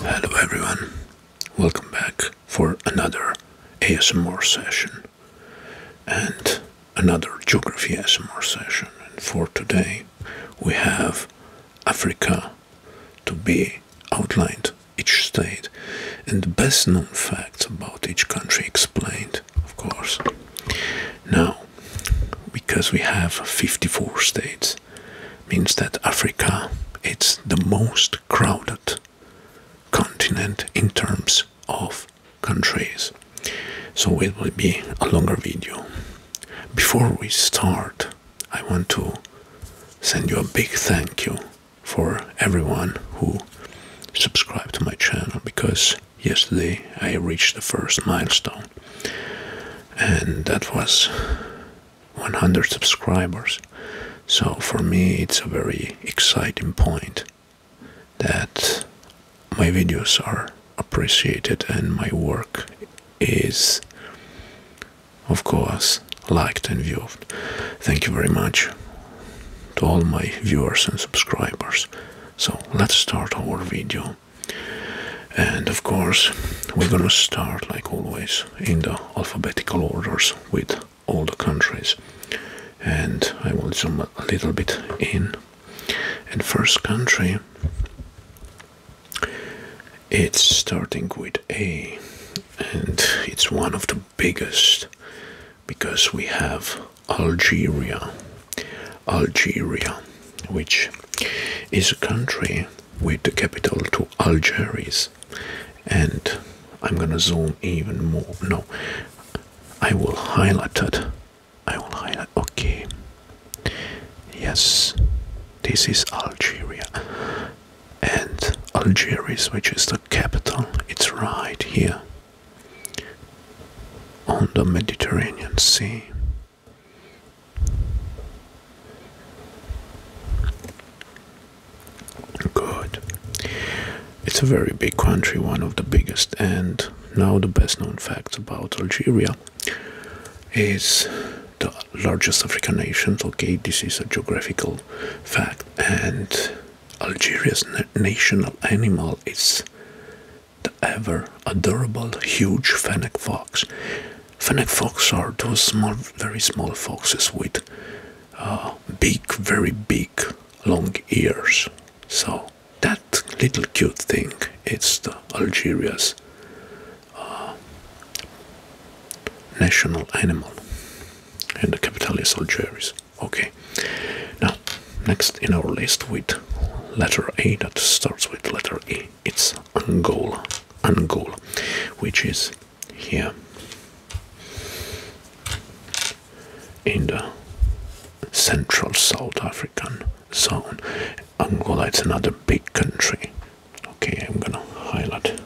Hello everyone, welcome back for another ASMR session and another geography ASMR session. And for today we have Africa to be outlined each state and the best known facts about each country explained of course. Now, because we have 54 states, means that Africa it's the most crowded continent in terms of countries. So it will be a longer video. Before we start, I want to send you a big thank you for everyone who subscribed to my channel because yesterday I reached the first milestone, and that was 100 subscribers. So for me, it's a very exciting point that my videos are appreciated and my work is, of course, liked and viewed. Thank you very much to all my viewers and subscribers. So let's start our video. And of course, we're gonna start like always in the alphabetical orders with all the countries. And I will zoom a little bit in. And first country, it's starting with A, and it's one of the biggest because we have Algeria. Algeria, which is a country with the capital to Algiers, and I'm gonna zoom even more. No, I will highlight it. I will highlight. Okay, yes, this is Algeria, and Algiers, which is the capital, it's right here on the Mediterranean Sea. Good. It's a very big country, one of the biggest, and now the best known facts about Algeria is the largest African nation. Okay, this is a geographical fact, and Algeria's national animal is the ever adorable huge fennec fox. Fennec fox are those small, very small foxes with uh, big, very big, long ears. So that little cute thing, it's the Algeria's uh, national animal, and the capital is Algiers. Okay. Now, next in our list with letter A that starts with letter A, it's Angola, Angola, which is here in the central South African zone. Angola it's another big country. Okay, I'm gonna highlight.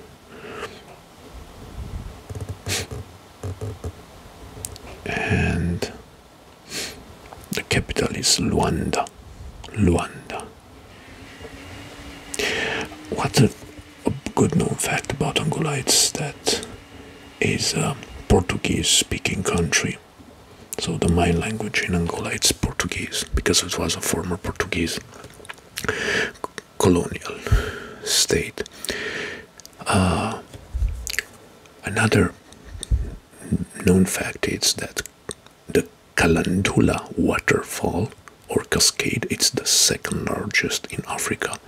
And the capital is Luanda. Luanda. What's a, good known fact about Angolites that is a Portuguese-speaking country. So the main language in Angolites it's Portuguese because it was a former Portuguese colonial state. Uh, another known fact is that the Kalandula waterfall or cascade is the second largest in Africa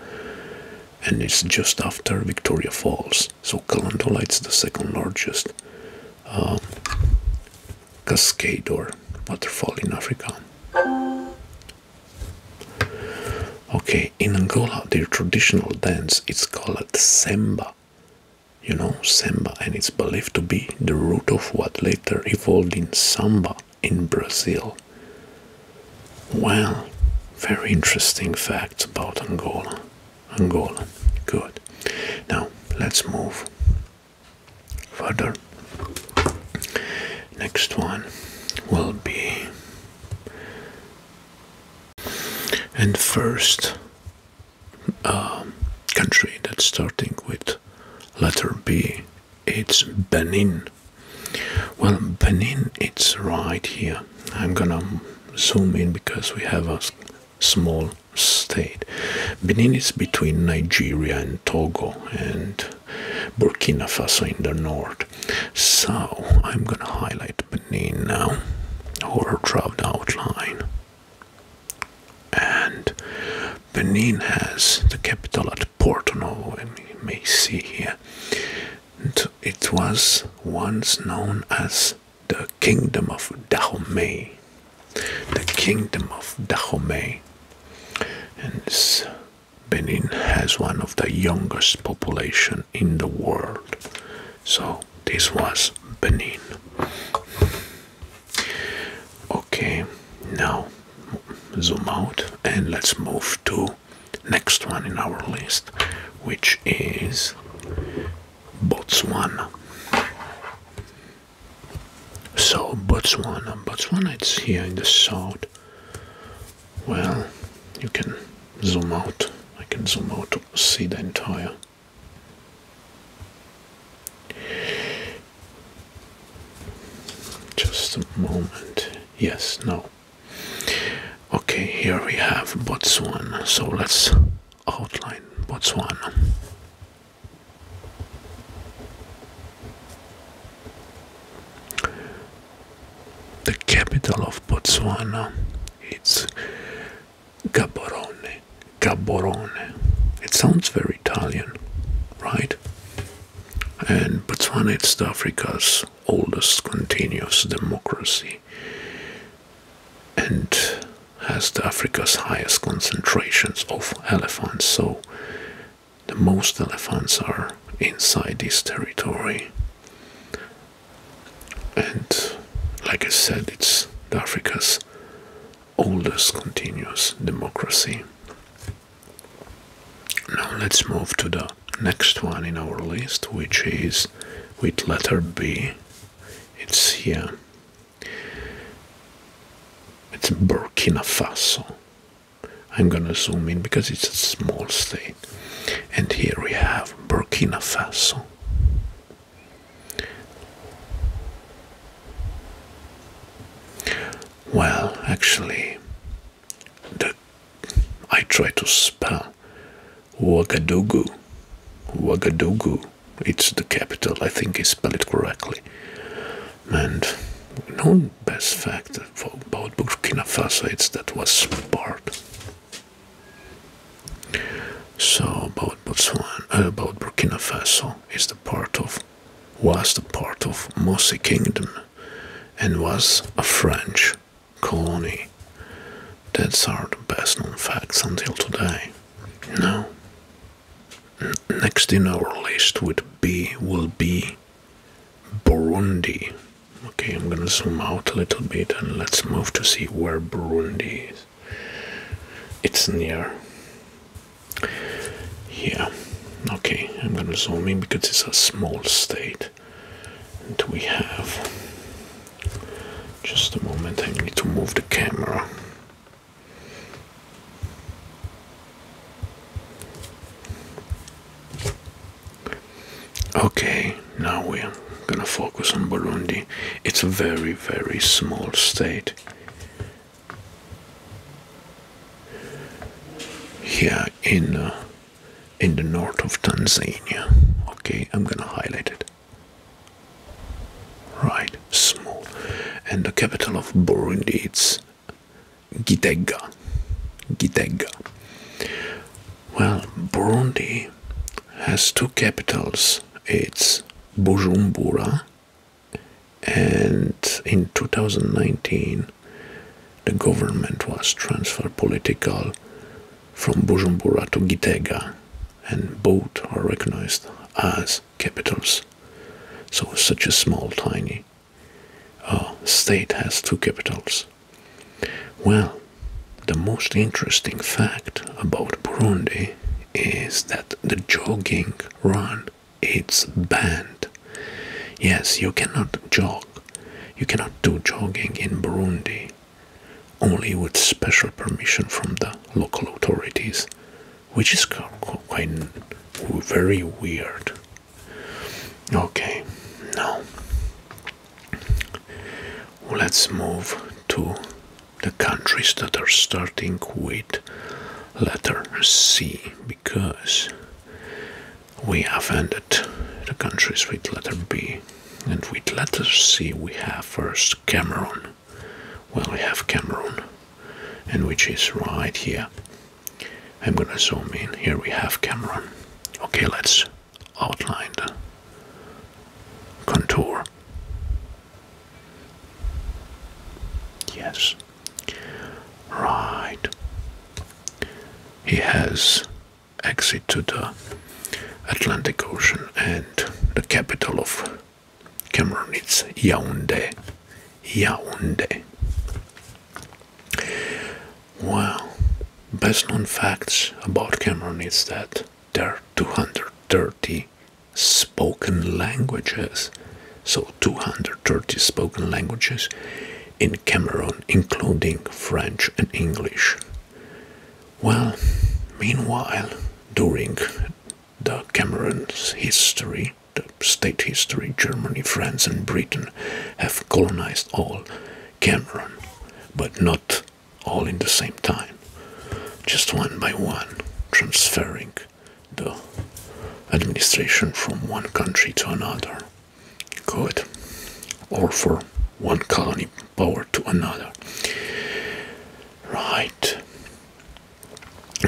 and it's just after Victoria Falls. So Kalandola it's the second largest um, cascade or waterfall in Africa. Okay, in Angola, their traditional dance is called samba. You know, samba, and it's believed to be the root of what later evolved in samba in Brazil. Well, very interesting facts about Angola. Angola, good. Now, let's move further. Next one will be and first um, country that's starting with letter B, it's Benin. Well, Benin, it's right here. I'm gonna zoom in because we have a small state. Benin is between Nigeria and Togo and Burkina Faso in the north. So I'm gonna highlight happening now over the outline. And Benin has the capital at Porto Novo, you may see here. It was once known as the Kingdom of Dahomey. The Kingdom of Dahomey. And Benin has one of the youngest population in the world. So this was Benin. Okay, now zoom out and let's move to next one in our list, which is Botswana. So Botswana, Botswana it's here in the south. Well, you can zoom out. I can zoom out to see the entire. Just a moment. Yes, no. Okay, here we have Botswana. So let's outline Botswana. The capital of Botswana it's Gaborone. Gaborone. It sounds very Italian, right? And Botswana is Africa's oldest continuous democracy and has Africa's highest concentrations of elephants. So the most elephants are inside this territory. And like I said, it's Africa's oldest continuous democracy. Now let's move to the next one in our list, which is with letter B. It's here. It's Burkina Faso. I'm gonna zoom in because it's a small state. And here we have Burkina Faso. Well, actually, I try to spell Ouagadougou. Ouagadougou. It's the capital. I think I spell it correctly. And known best fact about Burkina Faso is that was part so about Botswana, uh, about Burkina Faso is the part of, was the part of Mossi Kingdom, and was a French colony. That's our best known facts until today. Now, next in our list would B will be Burundi. Okay, I'm gonna zoom out a little bit and let's move to see where Burundi is. It's near. Yeah, okay, I'm gonna zoom in because it's a small state. And we have. Just a moment, I need to move the camera. Okay, now we're gonna focus on Burundi. It's a very, very small state. Here in uh, in the north of Tanzania. Okay, I'm gonna highlight it. Right, small, and the capital of Burundi it's Gitega. Gitega. Well, Burundi has two capitals. It's Bujumbura, and in 2019, the government was transferred political from Bujumbura to Gitega, and both are recognized as capitals. So, such a small, tiny uh, state has two capitals. Well, the most interesting fact about Burundi is that the jogging run is banned. Yes, you cannot jog. You cannot do jogging in Burundi, only with special permission from the local authorities, which is quite very weird. Okay, now Let's move to the countries that are starting with letter C because we have ended the countries with letter B and with letter C we have first Cameroon well we have Cameroon and which is right here I'm gonna zoom in here we have Cameroon okay let's outlined contour. Yes. Right. He has exit to the Atlantic Ocean and the capital of Cameroon is Yaoundé. Yaoundé. Well, best known facts about Cameroon is that there are 230 spoken languages. So 230 spoken languages in Cameroon, including French and English. Well, meanwhile, during the Cameroon's history, the state history, Germany, France, and Britain have colonized all Cameroon, but not all in the same time, just one by one, transferring the administration from one country to another. Good. Or from one colony power to another. Right.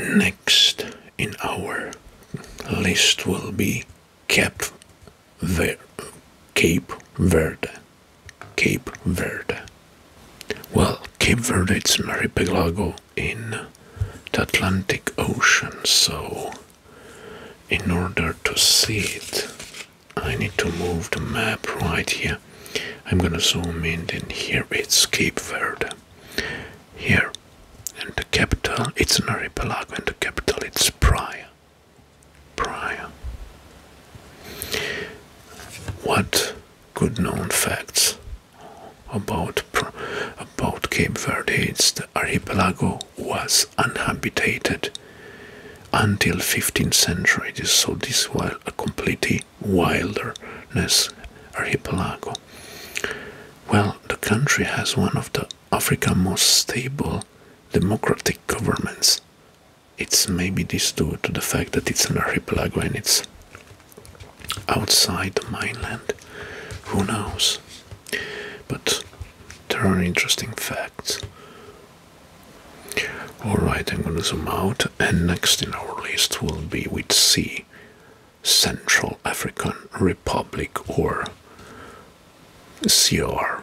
Next in our list will be Cap. Ver Cape Verde. Cape Verde. Well, Cape Verde it's archipelago in the Atlantic Ocean, so in order to see it, I need to move the map right here. I'm gonna zoom in, and here it's Cape Verde. Here, and the capital, it's an archipelago, and the capital, it's Praia prior. What good known facts about, about Cape Verde is the archipelago was uninhabited until 15th century, so this was a completely wilderness archipelago. Well, the country has one of the Africa most stable democratic governments it's maybe this due to the fact that it's an archipelago and it's outside the mainland. Who knows? But there are interesting facts. Alright, I'm gonna zoom out, and next in our list will be with C. Central African Republic or CR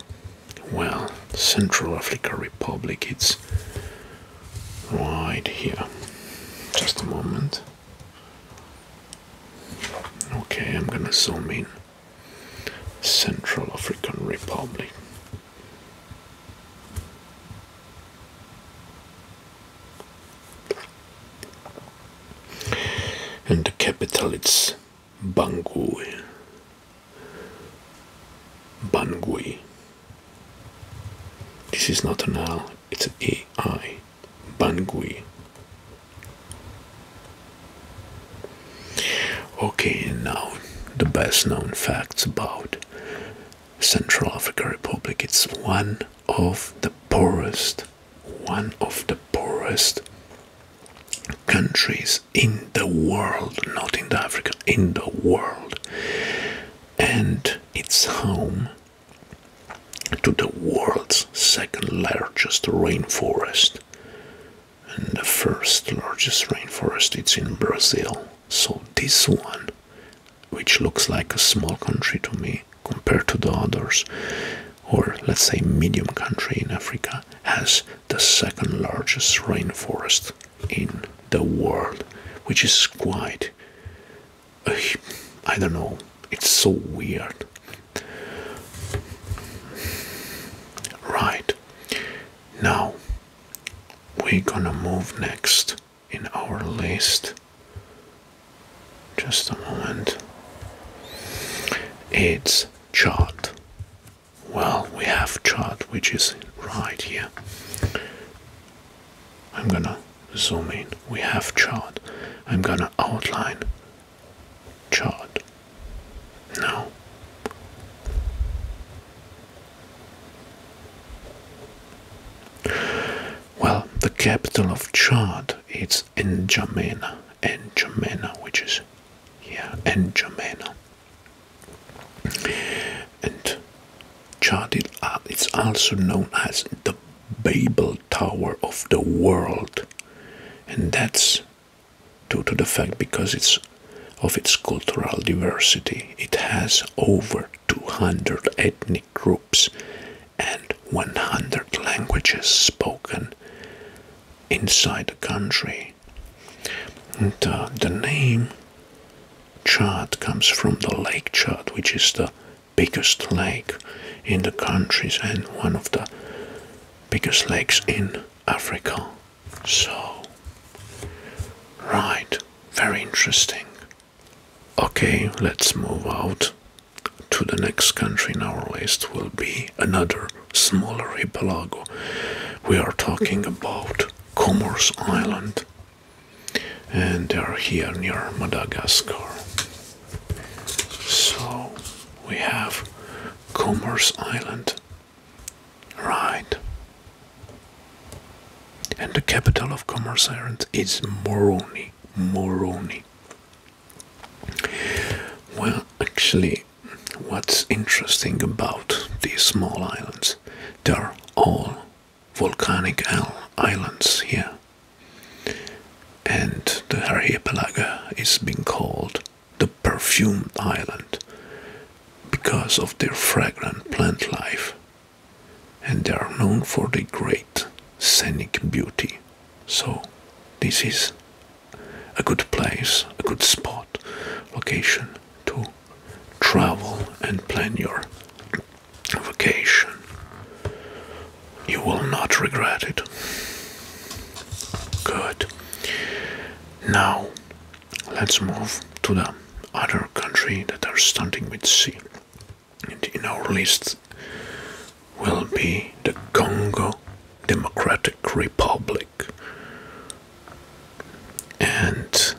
well, Central African Republic, it's right here. Just a moment. Okay, I'm gonna zoom in. Central African Republic. And the capital it's Bangui. Bangui. This is not an L, it's an AI. Bangui. Okay, now the best known facts about Central African Republic. It's one of the poorest, one of the poorest countries in the world, not in Africa, in the world. And it's home to the world's second largest rainforest. And the first largest rainforest it's in Brazil. So this one, which looks like a small country to me compared to the others, or let's say medium country in Africa, has the second largest rainforest in the world, which is quite, I don't know, it's so weird. Right, now we're gonna move next in our list. Just a moment. It's chart well we have chart which is right here i'm gonna zoom in we have chart i'm gonna outline chart no well the capital of chart it's N'Djamena, N'Djamena which is yeah N'Djamena and charted, uh, it's also known as the Babel Tower of the world, and that's due to the fact because it's of its cultural diversity. It has over 200 ethnic groups and 100 languages spoken inside the country. Uh, the name Chad comes from the Lake Chad, which is the biggest lake in the countries and one of the biggest lakes in Africa. So, right, very interesting. Okay, let's move out to the next country in our list will be another smaller archipelago. We are talking about Commerce Island, and they are here near Madagascar. So we have Commerce Island, right? And the capital of Commerce Island is Moroni. Moroni. Well, actually, what's interesting about these small islands? They're all volcanic islands here. And the archipelago is being called the perfumed island because of their fragrant plant life. And they are known for their great scenic beauty. So this is a good place, a good spot, location too travel and plan your vacation. You will not regret it. Good. Now let's move to the other country that are starting with C. And in our list will be the Congo Democratic Republic and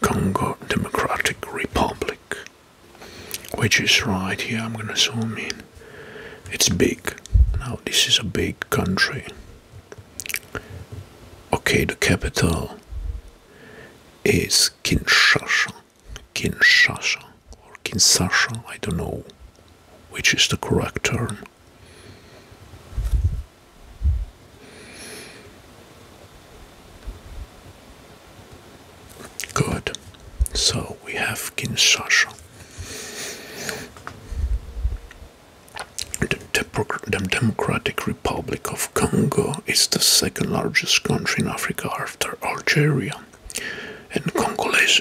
Congo Democratic Republic, which is right here. I'm gonna zoom in. It's big. Now, this is a big country. Okay, the capital is Kinshasa. Kinshasa or Kinshasa, I don't know which is the correct term. Good. So we have Kinshasa. The, Democratic Republic of Congo is the second largest country in Africa after Algeria, and Congolese,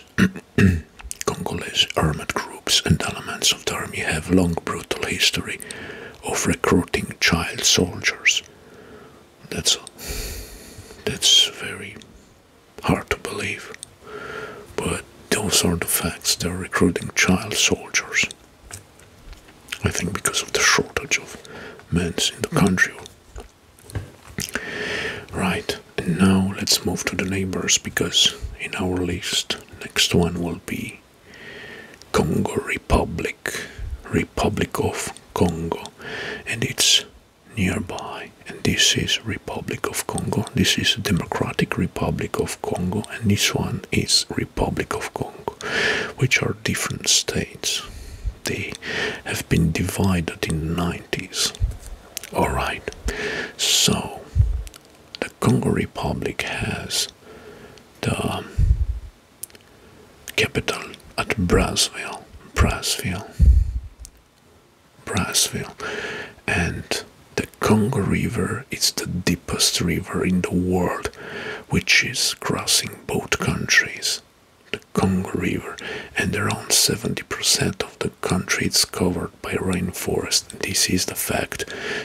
Congolese armed groups and elements of the army have long brutal history of recruiting child soldiers. That's that's very hard to believe, but those are the facts. They're recruiting child soldiers. I think because of the shortage of men in the country. Right, now let's move to the neighbors because in our list, next one will be Congo Republic, Republic of Congo, and it's nearby. And this is Republic of Congo, this is Democratic Republic of Congo, and this one is Republic of Congo, which are different states. They have been divided in the 90s. Alright, so the Congo Republic has the um, capital at Brazzaville, Brazzaville, Brazzaville, and the Congo River is the deepest river in the world, which is crossing both countries. The Congo River, and around 70% of the country is covered by rainforest. This is the fact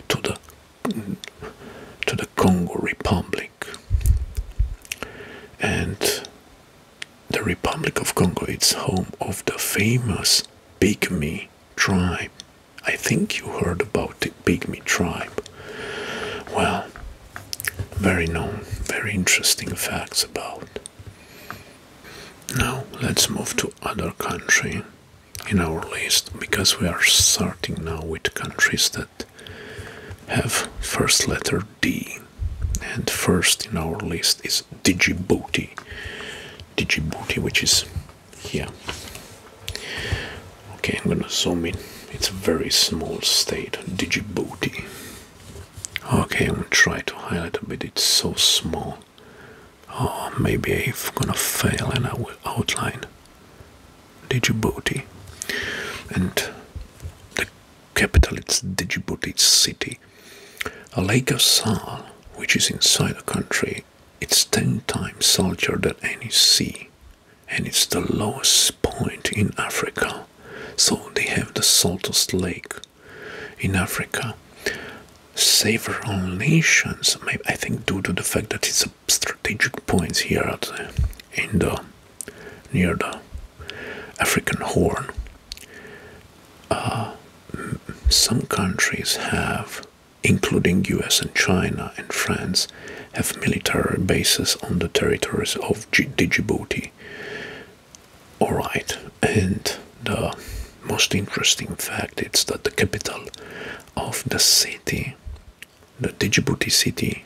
to the to the Congo Republic. And the Republic of Congo is home of the famous Pygmy tribe. I think you heard about the Pygmy tribe. Well, very known, very interesting facts about. Now let's move to other country in our list because we are starting now with countries that have first letter D and first in our list is Djibouti Djibouti which is here okay I'm gonna zoom in it's a very small state Djibouti okay I'm gonna try to highlight a bit it's so small or oh, maybe I'm gonna fail and I will outline Djibouti. And the capital it's Djibouti city. a Lake of Sal, which is inside the country, it's ten times saltier than any sea. And it's the lowest point in Africa. So they have the saltest lake in Africa. Several nations, I think due to the fact that it's a strategic points here at in the near the African Horn. Uh, some countries have, including U.S. and China and France, have military bases on the territories of Djibouti. All right, and the most interesting fact is that the capital of the city, the Djibouti city.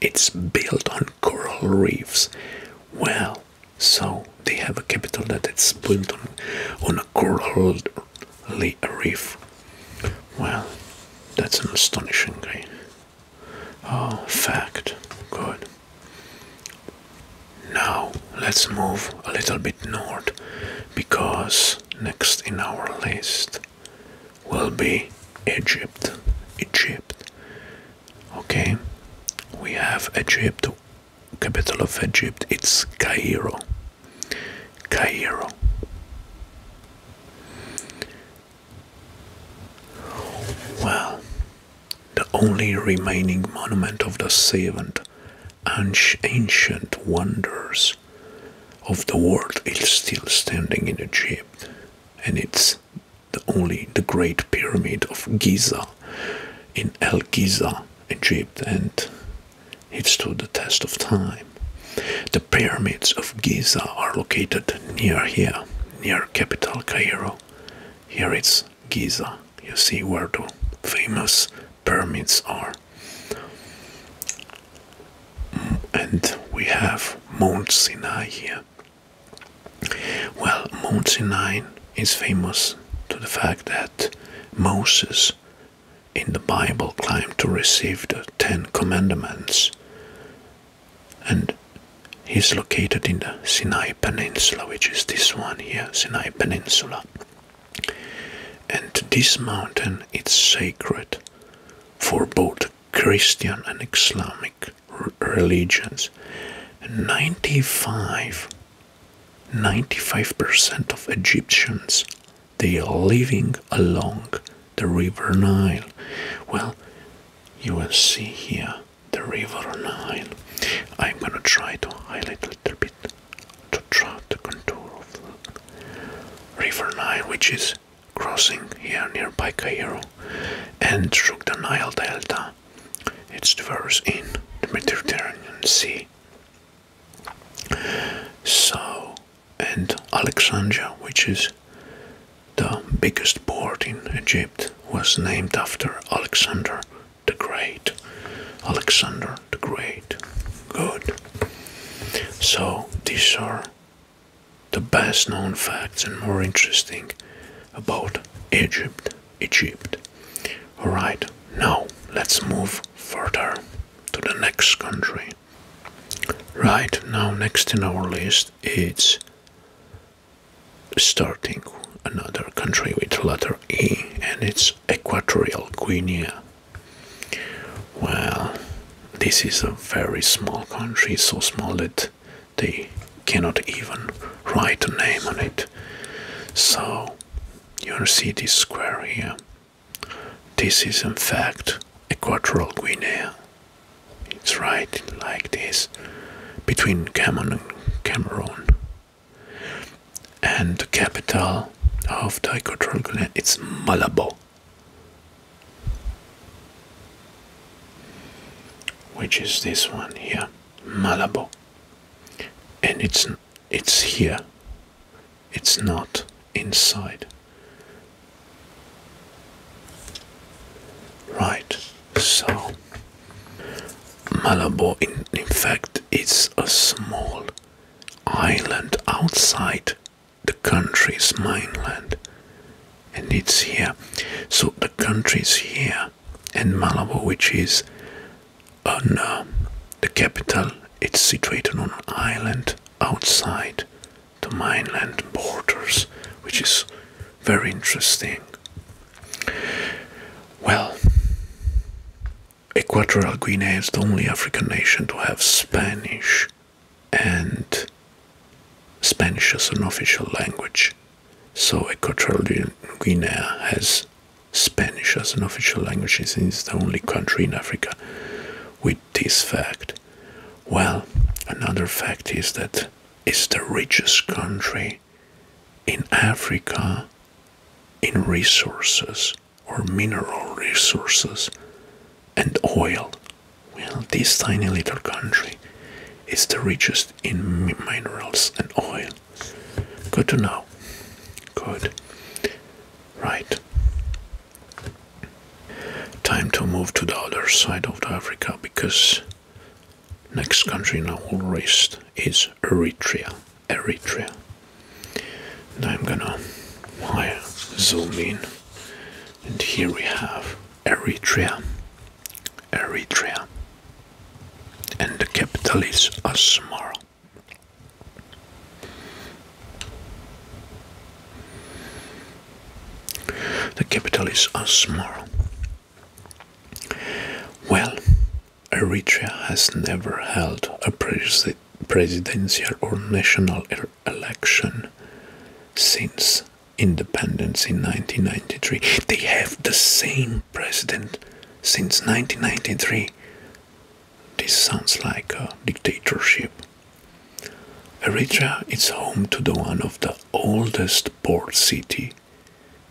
It's built on coral reefs. Well, so they have a capital that it's built on, on a coral reef. Well, that's an astonishing Oh, fact. Good. Now let's move a little bit north because next in our list will be Egypt. Egypt. Okay, we have Egypt, capital of Egypt, it's Cairo. Cairo. Well, the only remaining monument of the seventh ancient wonders of the world is still standing in Egypt, and it's the only the Great Pyramid of Giza in El Giza, Egypt, and it stood the test of time. The pyramids of Giza are located near here, near capital Cairo. Here it's Giza. You see where the famous pyramids are. And we have Mount Sinai here. Well, Mount Sinai is famous to the fact that Moses in the Bible climbed to receive the Ten Commandments. And he's located in the Sinai Peninsula, which is this one here, Sinai Peninsula. And this mountain is sacred for both Christian and Islamic religions. 95 95% of Egyptians they are living along the River Nile. Well, you will see here the River Nile. I'm gonna try to highlight a little bit to track the contour of the River Nile, which is crossing here nearby Cairo, and through the Nile Delta, its diverse in the Mediterranean Sea. So, and Alexandria, which is the biggest port in Egypt, was named after Alexander the Great. Alexander the Great. Good. So, these are the best known facts and more interesting about Egypt. Egypt. Alright, now let's move further to the next country. Right now, next in our list is starting another country with letter E and it's Equatorial Guinea. Well, this is a very small country, so small that they cannot even write a name on it. So, you see this square here. This is in fact Equatorial Guinea. It's right like this between Cameroon and Cameroon and the capital of the equatorial it's Malabo, which is this one here, Malabo, and it's it's here. It's not inside. Right, so Malabo, in, in fact, it's a small island outside the country's mainland. And it's here. So the country is here. And Malabo, which is on uh, the capital, it's situated on an island outside the mainland borders, which is very interesting. Well, Equatorial Guinea is the only African nation to have Spanish and Spanish as an official language. So Equatorial Guinea has Spanish as an official language It is the only country in Africa with this fact. Well, another fact is that it's the richest country in Africa in resources or mineral resources and oil. Well, this tiny little country is the richest in minerals and oil. Good to know. Good. Right. Time to move to the other side of Africa because next country in our list is Eritrea. Eritrea. Now I'm gonna zoom in and here we have Eritrea Eritrea and the capital is Asmara the capital is Asmara well Eritrea has never held a presi presidential or national election since independence in 1993. They have the same president since 1993. This sounds like a dictatorship. Eritrea is home to the one of the oldest port city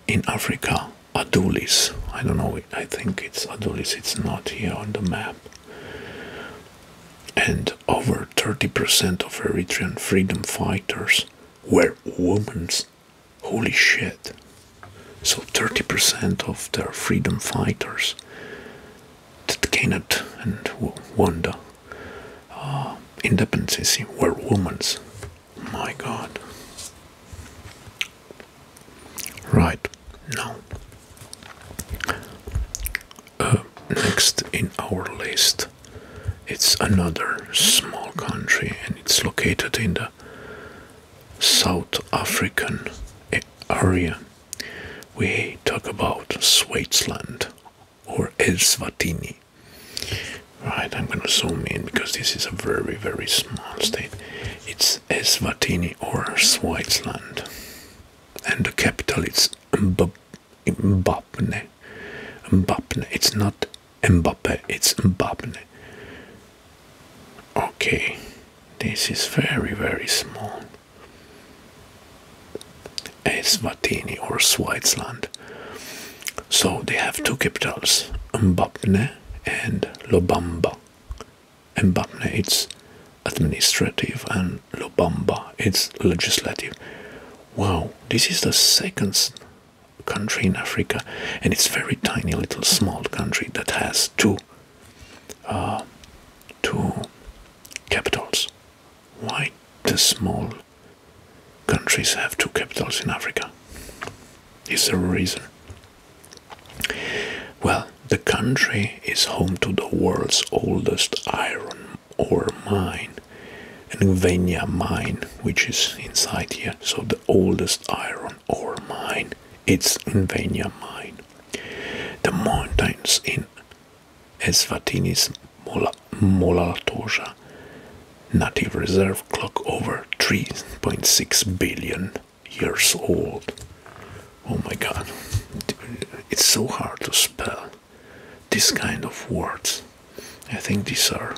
in Africa, Adulis. I don't know, I think it's Adulis, it's not here on the map and over 30% of Eritrean freedom fighters were women. Holy shit. So 30% of their freedom fighters, that Kenneth and Wanda, uh, independence were women. My god. Right now, uh, next in our list, it's another small country and it's located in the South African area. We talk about Swaziland or Eswatini. Right, I'm gonna zoom in because this is a very, very small state. It's Eswatini or Swaziland and the capital is Mbappé. Mbappé. It's not Mbappé, it's Mbappé. Okay, this is very, very small. Eswatini or Swaziland. So they have two capitals, Mbappé and Lobamba. Mbabne it's administrative and Lobamba, it's legislative. Wow, this is the second country in Africa and it's very tiny little small country that has two uh, two capitals. Why the small countries have two capitals in Africa? Is there a reason? Well, the country is home to the world's oldest iron ore mine, Ngvenya mine, which is inside here. So the oldest iron ore mine, it's Ngvenya mine. The mountains in Esvatinis Mola-Toja Native Reserve clock over 3.6 billion years old. Oh my god, it's so hard to spell this kind of words. I think these are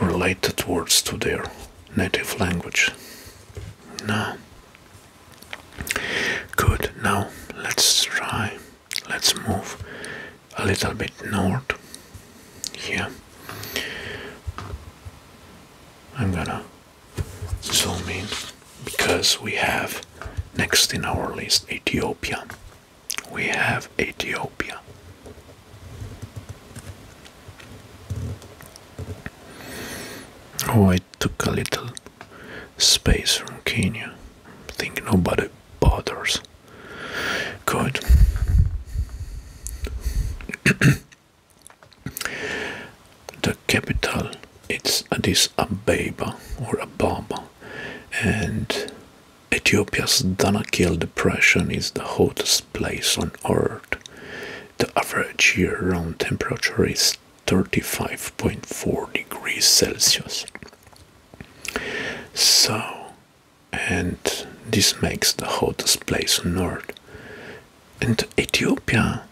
related words to their native language. Now, Good, now let's try. Let's move a little bit north here. I'm gonna zooming because we have next in our list Ethiopia. We have Ethiopia. Oh, it took a little space from Kenya. I think nobody bothers. Good. The capital is Addis Ababa or Ababa, and Ethiopia's Danakil Depression is the hottest place on Earth. The average year-round temperature is 35.4 degrees Celsius. So, and this makes the hottest place on Earth. And Ethiopia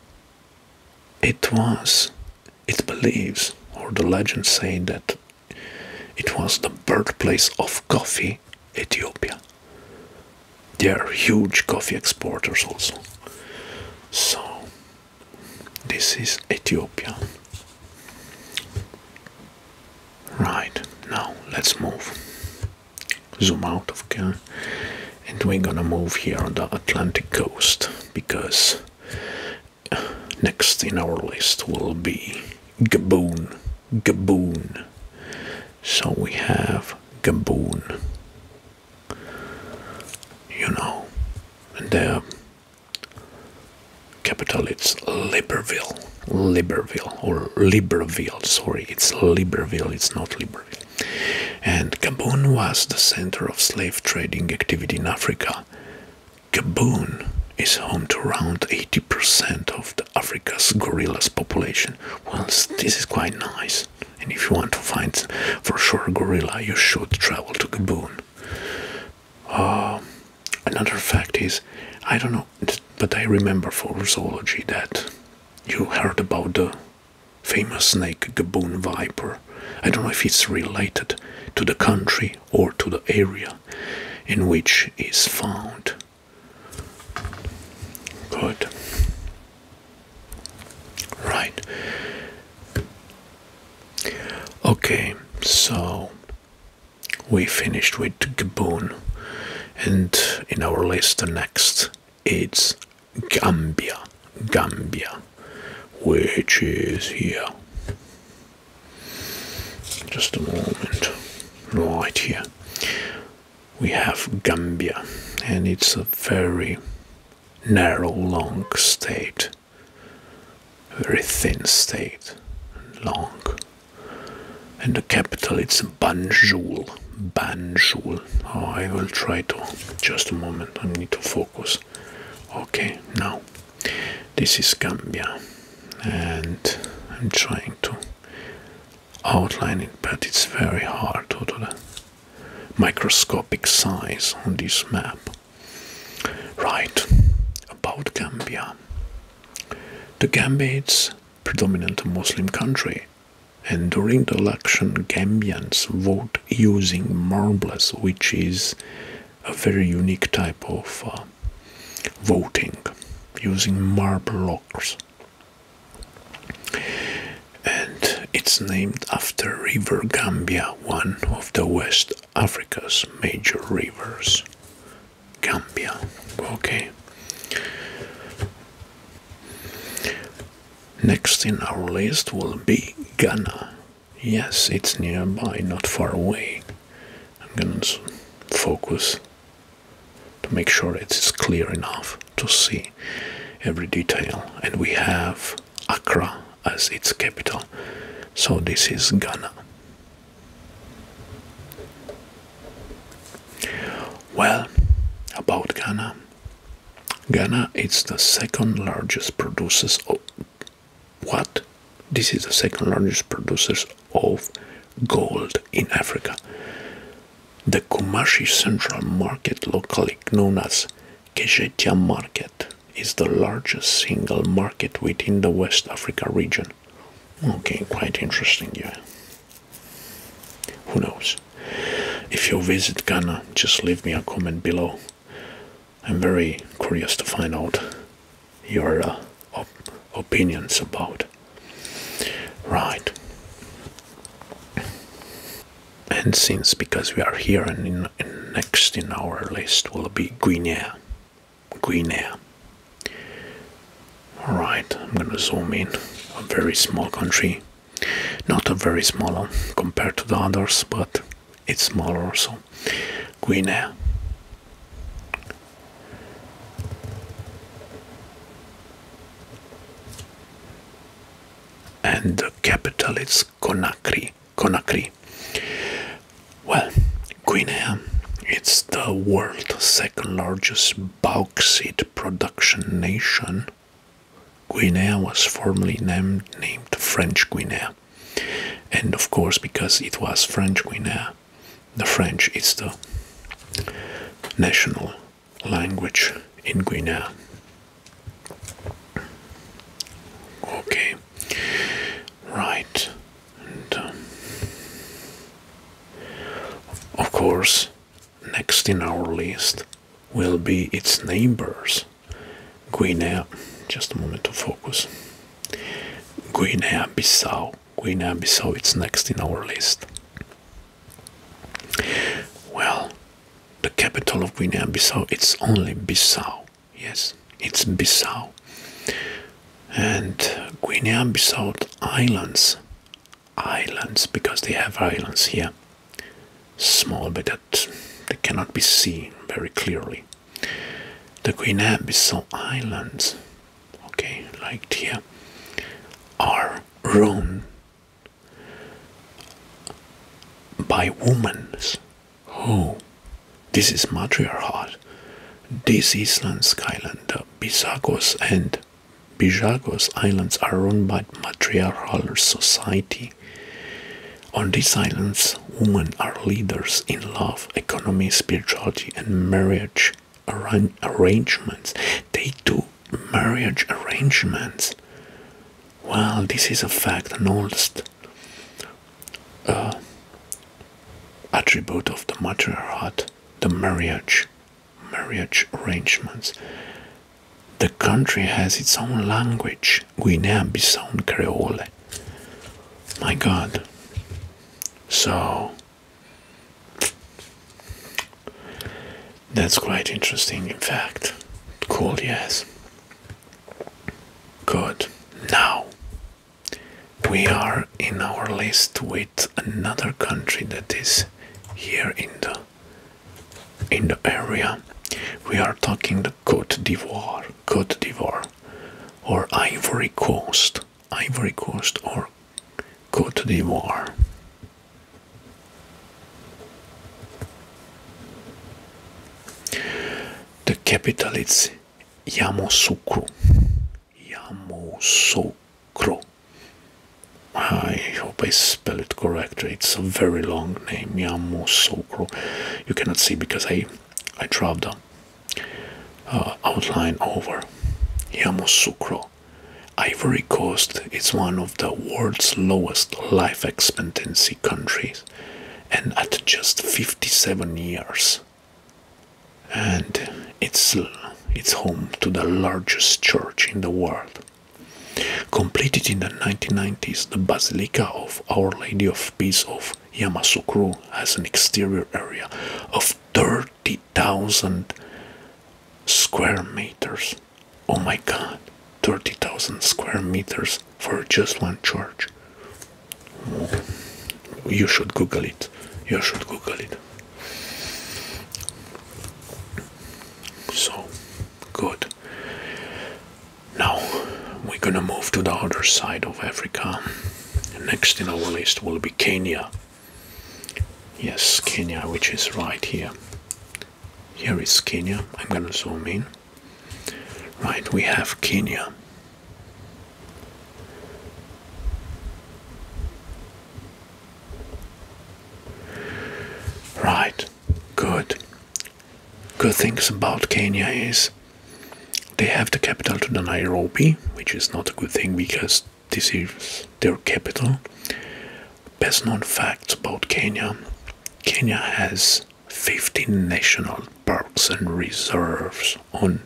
it was, it believes, or the legends say that it was the birthplace of coffee, Ethiopia. They are huge coffee exporters also. So, this is Ethiopia. Right, now let's move zoom out of again and we're gonna move here on the Atlantic coast because next in our list will be Gaboon Gaboon so we have Gaboon you know and the capital it's Libreville Libreville or Libreville sorry it's Libreville it's not Libreville and Gabon was the center of slave trading activity in Africa. Gabon is home to around 80% of Africa's gorillas population. Well, this is quite nice. And if you want to find for sure gorilla, you should travel to Gabon. Uh, another fact is, I don't know, but I remember for zoology that you heard about the famous snake Gaboon viper. I don't know if it's related to the country or to the area in which it's found. Good. Right. Okay, so we finished with Gaboon, and in our list, the next it's Gambia, Gambia, which is here. Just a moment, right here. We have Gambia, and it's a very narrow, long state, very thin state, long. And the capital it's Banjul. Banjul. Oh, I will try to. Just a moment. I need to focus. Okay, now this is Gambia, and I'm trying to outline it, but it's very hard due to the microscopic size on this map. Right, about Gambia. The Gambia is predominant Muslim country and during the election, Gambians vote using marbles, which is a very unique type of uh, voting, using marble locks. And it's named after River Gambia, one of the West Africa's major rivers. Gambia. Okay. Next in our list will be Ghana. Yes, it's nearby, not far away. I'm gonna focus to make sure it is clear enough to see every detail. And we have Accra as its capital. So this is Ghana. Well, about Ghana, Ghana is the second largest producers of what? This is the second largest producers of gold in Africa. The Kumasi Central Market, locally known as Kejetia Market, is the largest single market within the West Africa region. Okay, quite interesting, yeah. Who knows? If you visit Ghana, just leave me a comment below. I'm very curious to find out your uh, opinions about. Right. And since because we are here and next in our list will be Guinea. Guinea. Alright, I'm gonna zoom in. A very small country not a very small one compared to the others, but it's smaller also. Guinea. And the capital is Conakry. Conakry. Well, Guinea, it's the world's second largest bauxite production nation Guinea was formerly named, French Guinea. And of course, because it was French Guinea, the French is the national language in Guinea. Okay, right. Um, of course, Next in our list will be its neighbors. Guinea, just a moment to focus. Guinea-Bissau. Guinea-Bissau it's next in our list. Well, the capital of Guinea-Bissau it's only Bissau. Yes, it's Bissau. And Guinea-Bissau islands, islands because they have islands here small but that they cannot be seen very clearly. The Queen Abyssal Islands, okay, like here, are roamed by women. Oh, this is matriarchate. This island, Skyland, the Bisagos and Bijagos Islands are run by matriarchal society. On these islands, women are leaders in love, economy, spirituality, and marriage arrangements. They do marriage arrangements. Well, this is a fact, an oldest uh, attribute of the heart: the marriage, marriage arrangements. The country has its own language, Guinea-Bissau Creole. My God. So that's quite interesting, in fact. Cool, yes. Good. Now we are in our list with another country that is here in the in the area. We are talking the Cote d'Ivoire, Cote d'Ivoire, or Ivory Coast, Ivory Coast, or Cote d'Ivoire. The capital is Yamoussoukro. Yamoussoukro. I hope I spell it correctly. It's a very long name, Yamoussoukro. You cannot see because I I dropped the uh, outline over. Yamoussoukro. Ivory Coast is one of the world's lowest life expectancy countries, and at just 57 years. And it's it's home to the largest church in the world. Completed in the 1990s, the Basilica of Our Lady of Peace of Yamasukuro has an exterior area of 30,000 square meters. Oh my god, 30,000 square meters for just one church. You should Google it. You should Google it. So, Good. Now we're gonna move to the other side of Africa. Next in our list will be Kenya. Yes, Kenya, which is right here. Here is Kenya. I'm gonna zoom in. Right, we have Kenya. Right, good. Good things about Kenya is they have the capital to the Nairobi, which is not a good thing because this is their capital. Best known facts about Kenya Kenya has 15 national parks and reserves on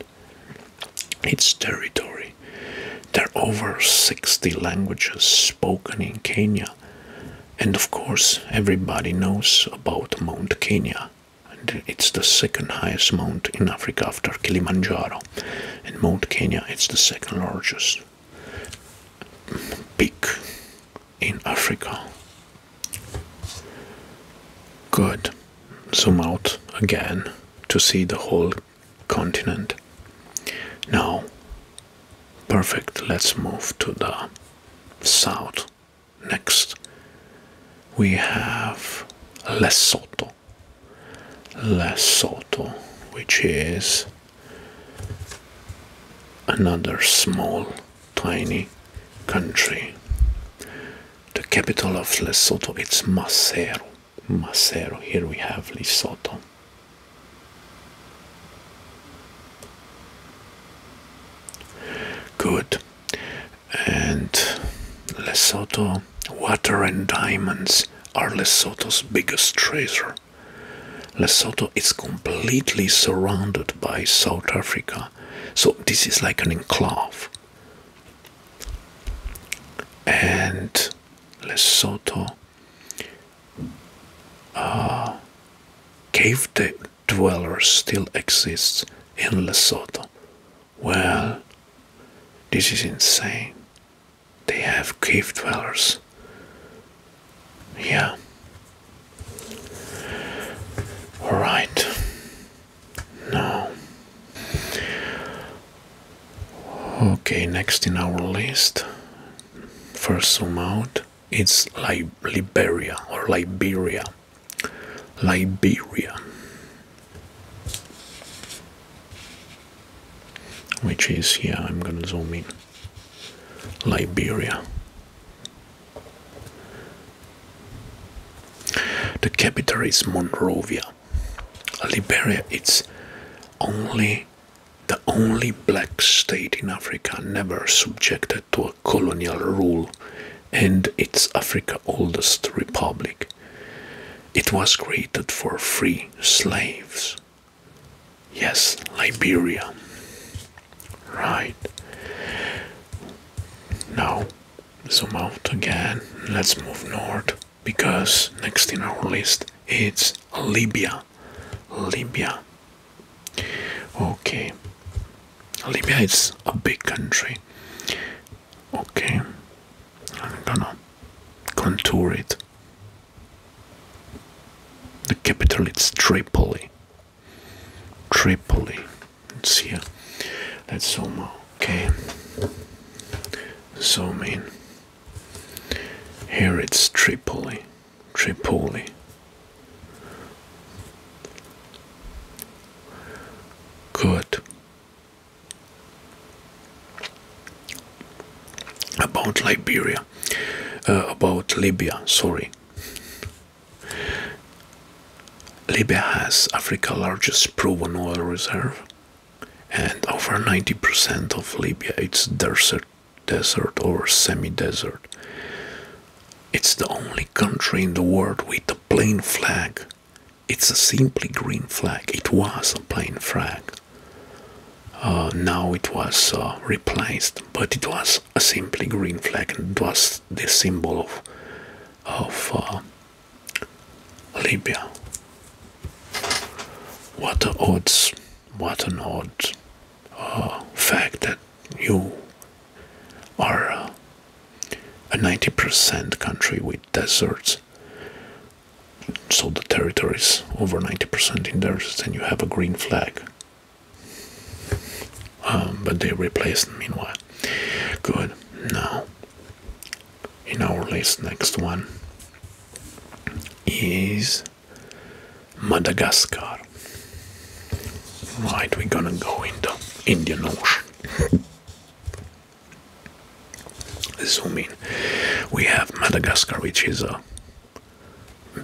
its territory. There are over 60 languages spoken in Kenya. And of course, everybody knows about Mount Kenya. it's the second highest mount in Africa after Kilimanjaro. And Mount Kenya is the second largest peak in Africa. Good. Zoom out again to see the whole continent. Now, Perfect, let's move to the south. Next, we have Lesotho. Lesotho, which is another small, tiny country. The capital of Lesotho is Maseru. Maseru. Here we have Lesotho. Good. And Lesotho, water and diamonds are Lesotho's biggest treasure. Lesotho is completely surrounded by South Africa, so this is like an enclave. And Lesotho uh, cave dwellers still exists in Lesotho. Well, this is insane. They have cave dwellers. Yeah. Alright. Now. Okay, next in our list. First zoom out it's Li Liberia or Liberia. Liberia. Which is, here. I'm gonna zoom in. Liberia. The capital is Monrovia. Liberia, it's only the only black state in Africa never subjected to a colonial rule, and it's Africa's oldest republic. It was created for free slaves. Yes, Liberia. Right. Now, zoom out again. Let's move north because next in our list it's Libya. Libya. Okay. Libya is a big country. Okay. I'm gonna contour it. The capital is Tripoli. Tripoli. It's here. That's Soma. Okay. So mean. Here it's Tripoli. Tripoli. Good. About Liberia, uh, about Libya, sorry. Libya has Africa's largest proven oil reserve, and over 90% of Libya is desert desert or semi-desert. It's the only country in the world with a plain flag. It's a simply green flag. It was a plain flag. Uh, now it was uh, replaced, but it was a simply green flag and it was the symbol of, of uh, Libya. What the odds? what an odd uh, fact that you are uh, a 90% country with deserts. So the territory is over 90% in deserts, and you have a green flag. Um, but they replaced meanwhile. Good. Now, in our list, next one is Madagascar. Right, we're gonna go in the Indian Ocean. Zoom in. We have Madagascar, which is a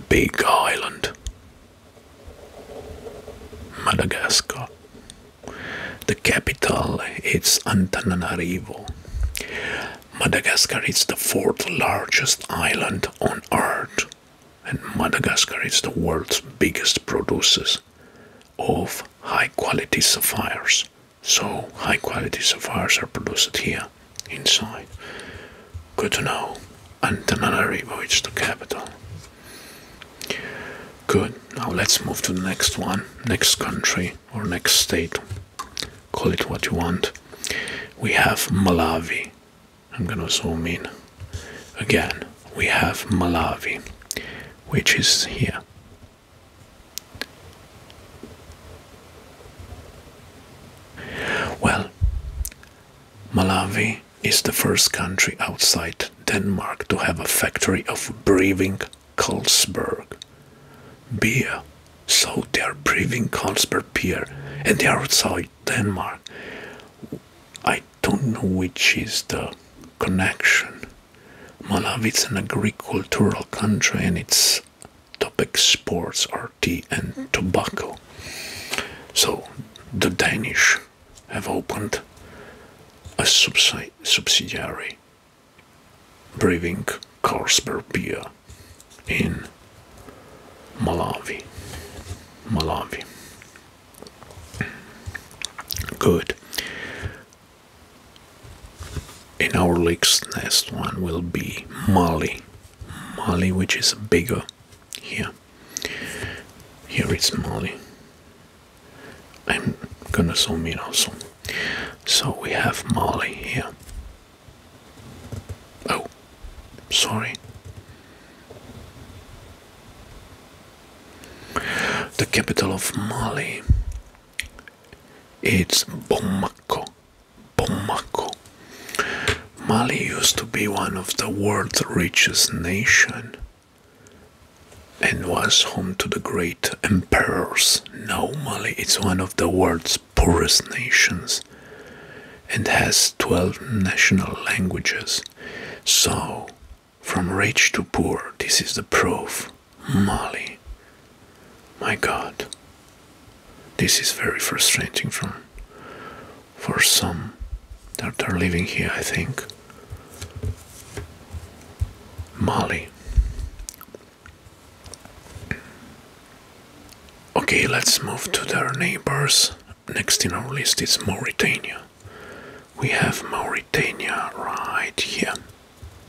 big island. Madagascar. The capital is Antananarivo. Madagascar is the fourth largest island on Earth and Madagascar is the world's biggest producer of high quality sapphires. So, high quality sapphires are produced here inside. Good to know. Antananarivo is the capital. Good. Now let's move to the next one, next country or next state. Call it what you want. We have Malawi. I'm gonna zoom in again. We have Malawi, which is here. Well, Malawi is the first country outside Denmark to have a factory of brewing Kolsberg beer. So they are brewing Kolsberg beer, and they are outside. Denmark. I don't know which is the connection. Malawi is an agricultural country and its top exports are tea and tobacco. So the Danish have opened a subsidiary brewing Carlsberg beer in Malawi. Malawi. Good. In our league's next one will be Mali. Mali, which is bigger here. Here it's Mali. I'm gonna zoom in also. So we have Mali here. Oh, sorry. The capital of Mali. It's Bamako. Bamako. Mali used to be one of the world's richest nation and was home to the great emperors. Now Mali is one of the world's Poorest nations and has 12 national languages. So, from rich to poor, this is the proof. Mali. My god. This is very frustrating for, for some that are living here, I think. Mali. Okay, let's move to their neighbors Next in our list is Mauritania. We have Mauritania right here.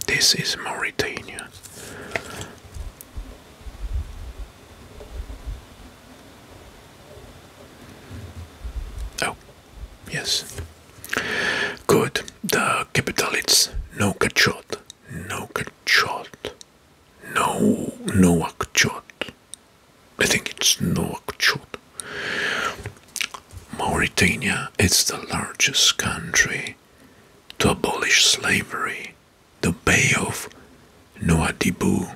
This is Mauritania. Oh, yes. Good. The capital is Nouakchott. Nouakchott. No, Nouakchott. I think it's no Nouakchott. Mauritania is the largest country to abolish slavery. The Bay of Nouadhibou,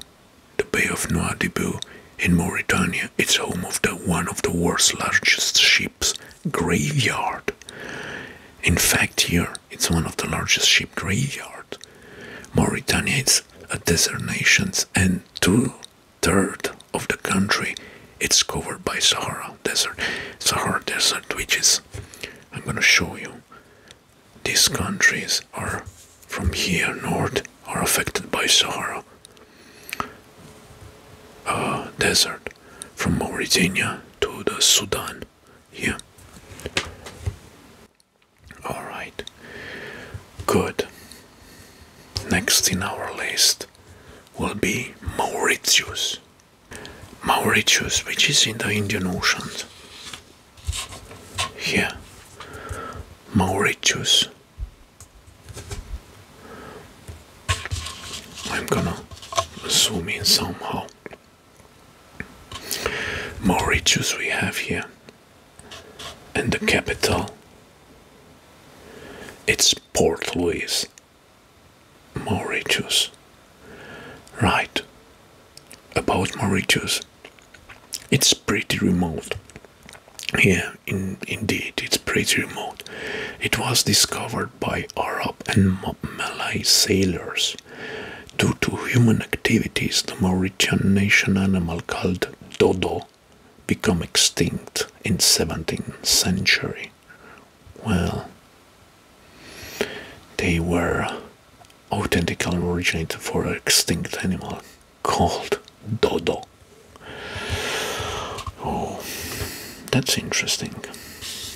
the Bay of Nouadhibou in Mauritania, it's home of the one of the world's largest ships graveyard. In fact, here it's one of the largest ship graveyard world. Mauritania is a desert nation and two-thirds of the country it's covered by Sahara Desert. Sahara Desert which is I'm gonna show you. These countries are from here north are affected by Sahara uh, Desert from Mauritania to the Sudan. Here all right. Good. Next in our list will be Mauritius. Mauritius, which is in the Indian Ocean. Here. Mauritius. I'm gonna zoom in somehow more riches we have here and the capital it's port louis mauritius right about mauritius it's pretty remote yeah in, indeed it's pretty remote it was discovered by arab and malay sailors Due to human activities, the Mauritian nation animal called dodo became extinct in 17th century. Well, they were authentic and originated for extinct animal called dodo. Oh, that's interesting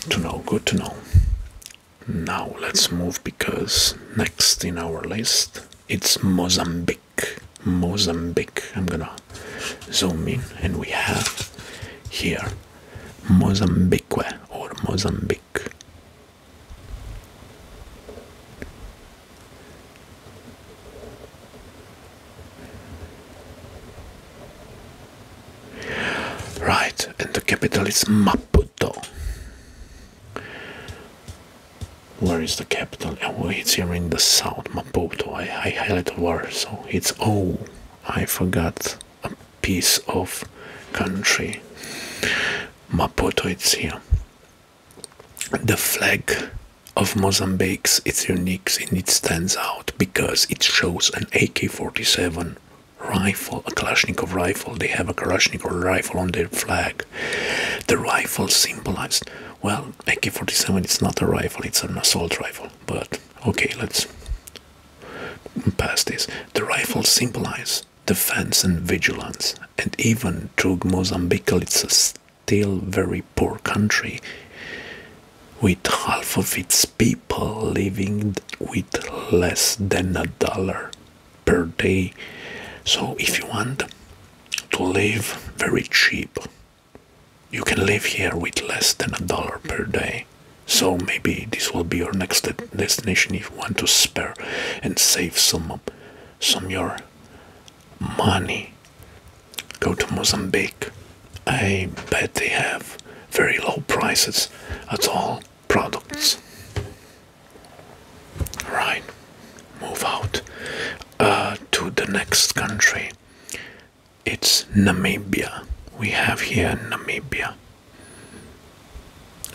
to know, good to know. Now let's move because next in our list it's Mozambique. Mozambique. I'm gonna zoom in and we have here Mozambique or Mozambique. Right, and the capital is Maputo. Where is the capital? Oh, it's here in the south, Maputo. I, I highlighted where, so it's oh, I forgot a piece of country. Maputo, it's here. The flag of Mozambique is unique and it stands out because it shows an AK-47 rifle, a Kalashnikov rifle. They have a Kalashnikov rifle on their flag. The rifle symbolized well, AK-47 it's not a rifle, it's an assault rifle, but okay, let's pass this. The rifle symbolizes defense and vigilance, and even through Mozambique it's still very poor country, with half of its people living with less than a dollar per day. So if you want to live very cheap, you can live here with less than a dollar per day. So maybe this will be your next destination if you want to spare and save some some your money. Go to Mozambique. I bet they have very low prices at all products. Right, move out uh, to the next country. It's Namibia. We have here Namibia.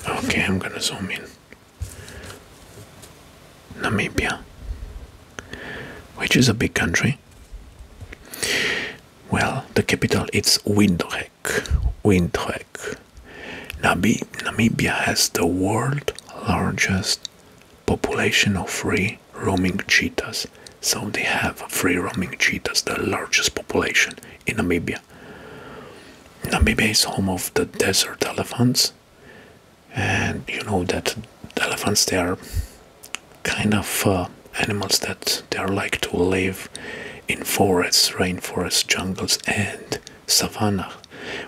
Okay, I'm gonna zoom in. Namibia, which is a big country. Well, the capital is Windhoek hike, Namibia has the world's largest population of free roaming cheetahs. So they have free roaming cheetahs, the largest population in Namibia. Namibia is home of the desert elephants, and you know that the elephants they are kind of uh, animals that they are like to live in forests, rainforests, jungles, and savanna.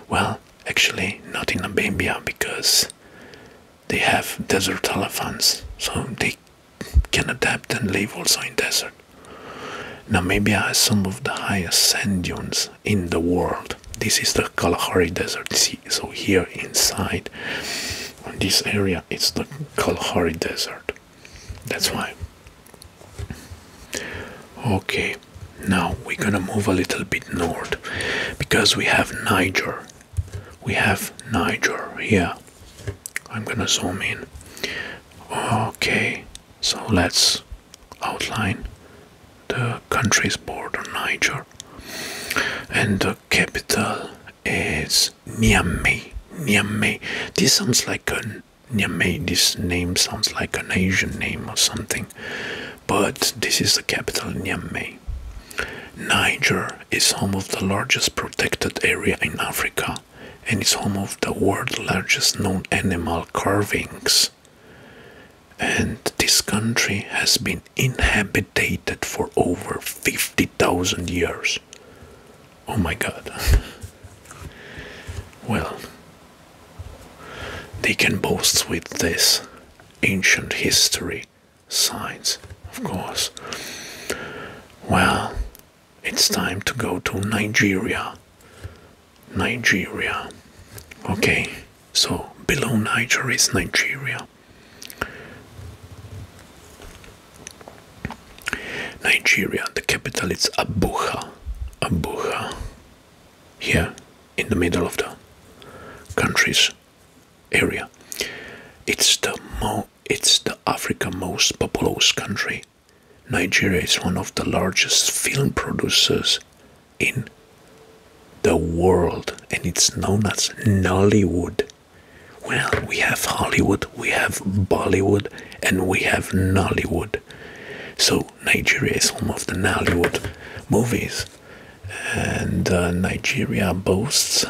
Well, actually, not in Namibia because they have desert elephants, so they can adapt and live also in desert. Namibia has some of the highest sand dunes in the world. This is the Kalahari Desert. See, so here inside, this area, it's the Kalahari Desert. That's why Okay, now we're gonna move a little bit north because we have Niger. We have Niger here. I'm gonna zoom in. Okay, so let's outline the country's border, Niger, and the capital is Niamey. Niamey. This sounds like an Niamey. this name sounds like an Asian name or something, but this is the capital, Niamey. Niger is home of the largest protected area in Africa and it's home of the world's largest known animal carvings. And this country has been inhabited for over 50,000 years. Oh my god. well, they can boast with this ancient history science, of course. Well, it's time to go to Nigeria. Nigeria. Okay, so below Nigeria is Nigeria. Nigeria, the capital is Abuja. Abuja here in the middle of the country's area. It's the mo it's the Africa most populous country. Nigeria is one of the largest film producers in the world and it's known as Nollywood. Well, we have Hollywood, we have Bollywood, and we have Nollywood. So Nigeria is home of the Nollywood movies, and uh, Nigeria boasts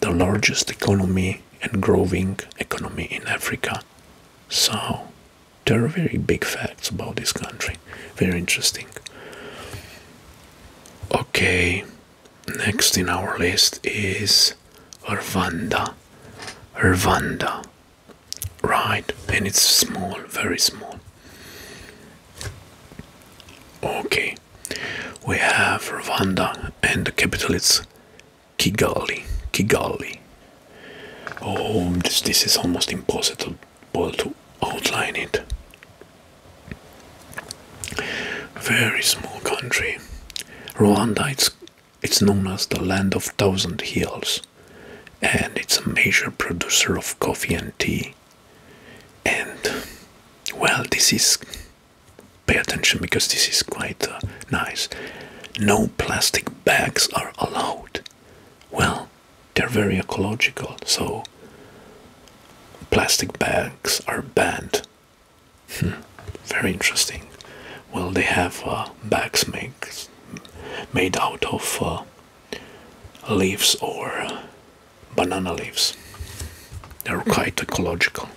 the largest economy and growing economy in Africa. So there are very big facts about this country. Very interesting. Okay, next in our list is Arvanda. Arvanda. Right, and it's small, very small. Okay, we have Rwanda and the capital is Kigali. Kigali. Oh, this, this is almost impossible to outline it. Very small country. Rwanda, it's known as the Land of Thousand Hills, and it's a major producer of coffee and tea. And well, this is pay attention because this is quite uh, nice. No plastic bags are allowed. Well, they're very ecological, so plastic bags are banned. Hmm, very interesting. Well, they have uh, bags made made out of uh, leaves or banana leaves. They're mm. quite ecological.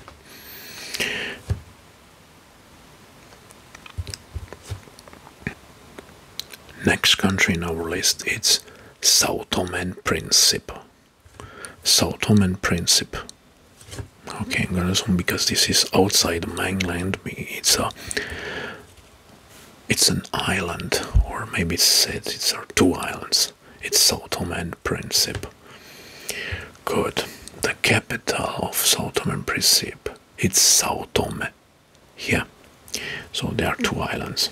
Next country in our list is Sao Tome and Principe. Sao Tome and Principe. Okay, I'm gonna zoom because this is outside the mainland. It's a it's an island, or maybe it's, it's are two islands. It's Sao Tome and Principe. Good. The capital of Sao Tome and Principe. It's Sao Tome. Yeah. So there are two islands.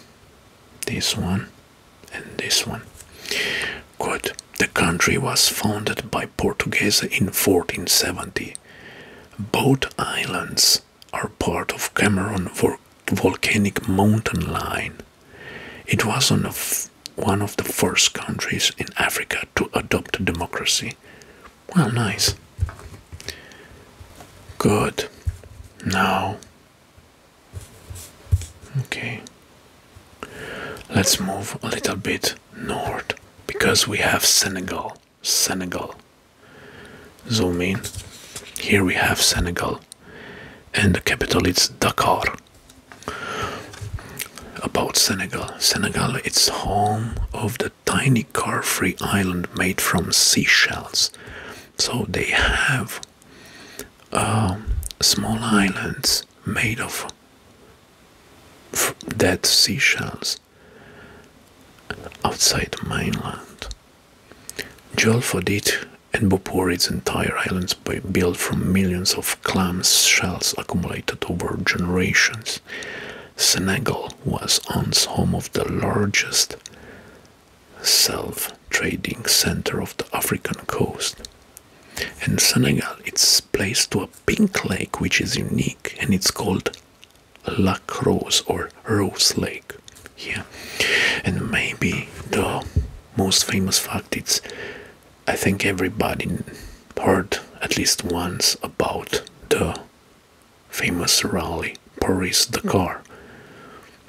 This one and this one. Good. The country was founded by Portuguese in 1470. Both islands are part of Cameroon's Volcanic Mountain Line. It was one of, one of the first countries in Africa to adopt democracy. Well, nice. Good. Now, okay, let's move a little bit north because we have Senegal. Senegal. Zoom in. Here we have Senegal, and the capital it's Dakar. About Senegal. Senegal it's home of the tiny car-free island made from seashells. So they have um, small islands made of dead seashells outside mainland. Jolfodit and Boporid's entire islands were built from millions of clam shells accumulated over generations. Senegal was once home of the largest self-trading center of the African coast. and Senegal, it's placed to a pink lake which is unique and it's called Lac Rose or Rose Lake here. And maybe the most famous fact is I think everybody heard at least once about the famous rally Paris Dakar,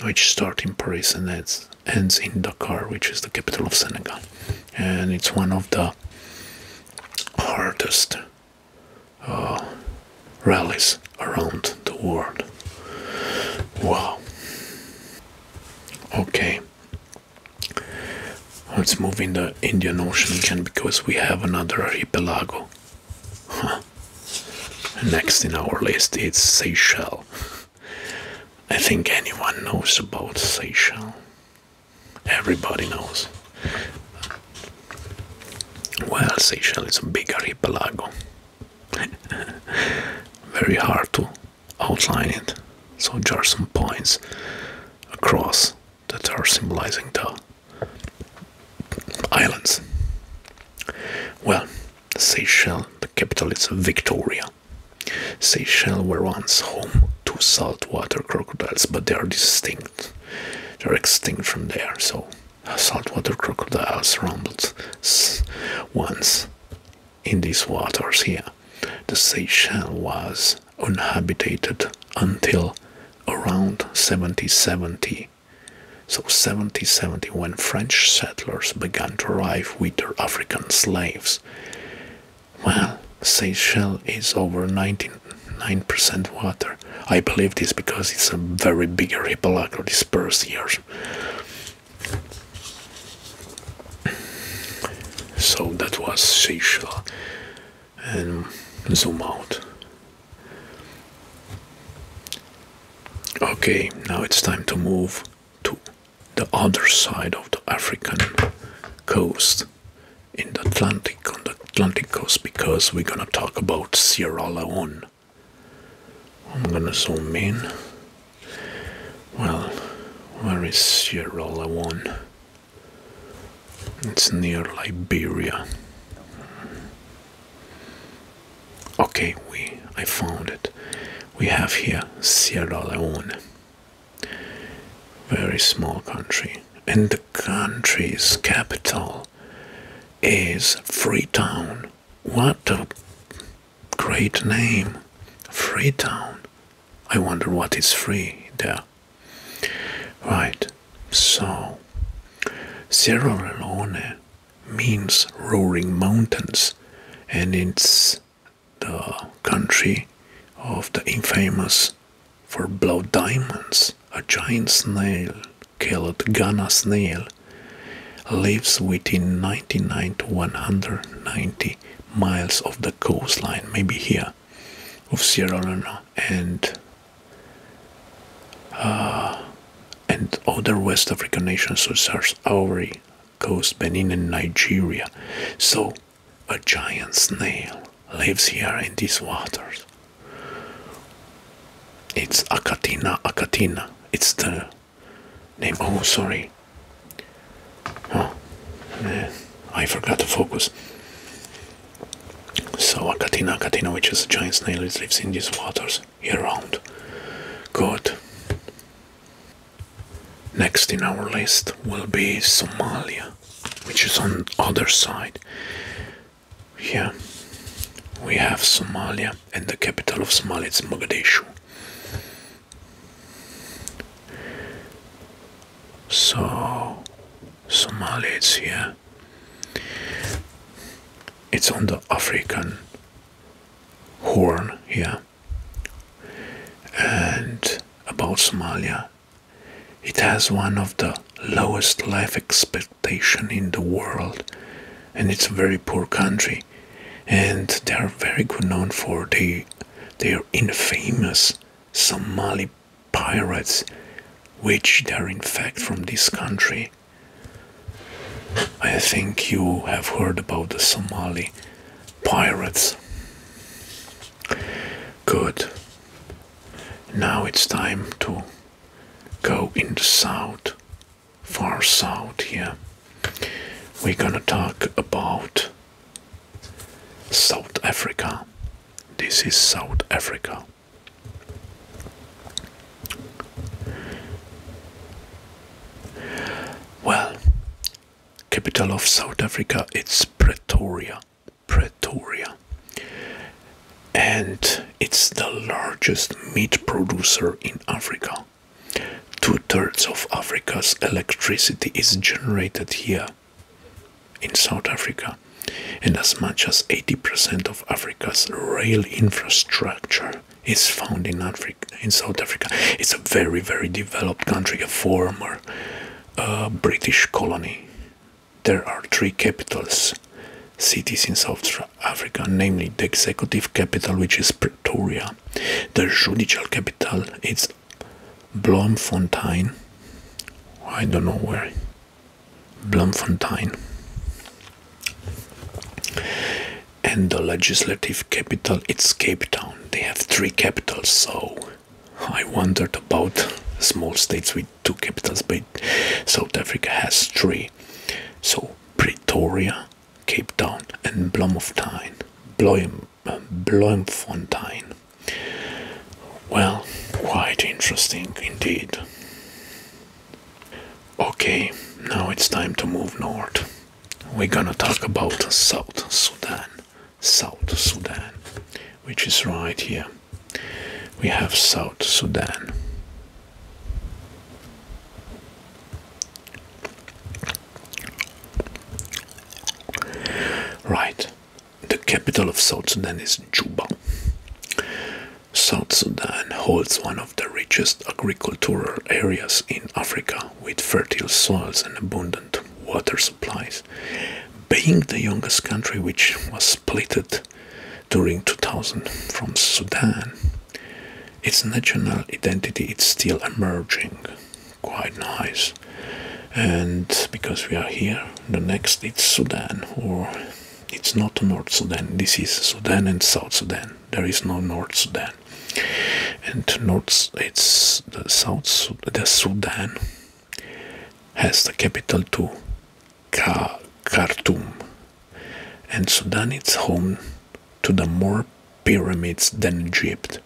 which starts in Paris and ends, ends in Dakar, which is the capital of Senegal. And it's one of the hardest Ah, rallies around the world. Wow. Okay. Let's move in the Indian Ocean again because we have another archipelago. Next in our list is Seychelles. I think anyone knows about Seychelles. Everybody knows. Well, Seychelles is a big archipelago. Very hard to outline it. So just some points across that are symbolizing the islands. Well, Seychelles, the capital is Victoria. Seychelles were once home to saltwater crocodiles, but they are distinct they're extinct from there, so saltwater crocodiles roamed once in these waters here. The Seychelles was uninhabited until around 1770. So 1770 when French settlers began to arrive with their African slaves. Well, Seychelles is over 19 9% water. I believe this because it's a very big archipelago dispersed here. So that was Seychelles and zoom out. Okay, now it's time to move to the other side of the African coast in the Atlantic on the Atlantic coast because we're gonna talk about Sierra Leone. I'm gonna zoom in. Well, where is Sierra Leone? It's near Liberia. Okay, we I found it. We have here Sierra Leone. Very small country. And country's capital is Freetown. What a great name! Freetown. I wonder what is free there. Right, so Sierra Leone means roaring mountains, and it's the country of the infamous for blow diamonds, a giant snail called Ghana snail lives within 99 to 190 miles of the coastline, maybe here, of Sierra Leone and uh, and other West African nations such as Ivory Coast, Benin, and Nigeria. So, a giant snail lives here in these waters. It's Akatina Akatina. It's the name. Oh, sorry. Oh, I forgot to focus. So Akatina Akatina, which is a giant snail, it lives in these waters year-round. Good. Next in our list will be Somalia, which is on other side. Here we have Somalia and the capital of Somalia is Mogadishu. So Somalia it's here. It's on the African horn here. And about Somalia it has one of the lowest life expectation in the world and it's a very poor country and they are very good known for they their infamous Somali pirates which they are in fact from this country. I think you have heard about the Somali pirates. Good. Now it's time to go in the south, far south here. We're gonna talk about South Africa. This is South Africa. Well, capital of South Africa, it's Pretoria. Pretoria. And it's the largest meat producer in Africa. Two thirds of Africa's electricity is generated here in South Africa, and as much as 80% of Africa's rail infrastructure is found in Africa, in South Africa. It's a very, very developed country, a former uh, British colony there are three capitals cities in South Africa, namely the executive capital, which is Pretoria, the judicial capital it's Bloemfontein. I don't know where. Bloemfontein. And the legislative capital, it's Cape Town. They have three capitals, so I wondered about small states with two capitals being South Africa has three. So Pretoria, Cape Town, and Bloemfontein. Bloem, Bloemfontein. Well, quite interesting indeed. Okay, now it's time to move north. We're gonna talk about South Sudan. South Sudan which is right here. We have South Sudan. Right, the capital of South Sudan is Juba. South Sudan holds one of the richest agricultural areas in Africa with fertile soils and abundant water supplies. Being the youngest country which was splitted during 2000 from Sudan. Its national identity is still emerging. Quite nice. And because we are here, the next it's Sudan, or it's not North Sudan. This is Sudan and South Sudan. There is no North Sudan. And North, it's the South, the Sudan has the capital too, Khartoum, and Sudan is home to the more pyramids than Egypt,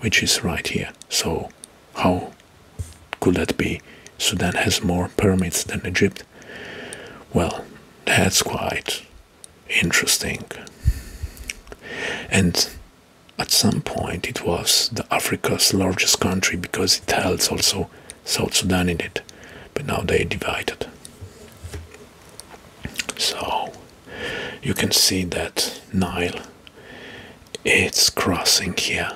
which is right here. So how could that be? Sudan has more pyramids than Egypt. Well, that's quite interesting. And at some point, it was the Africa's largest country because it held also South Sudan in it, but now they divided. So you can see that Nile it's crossing here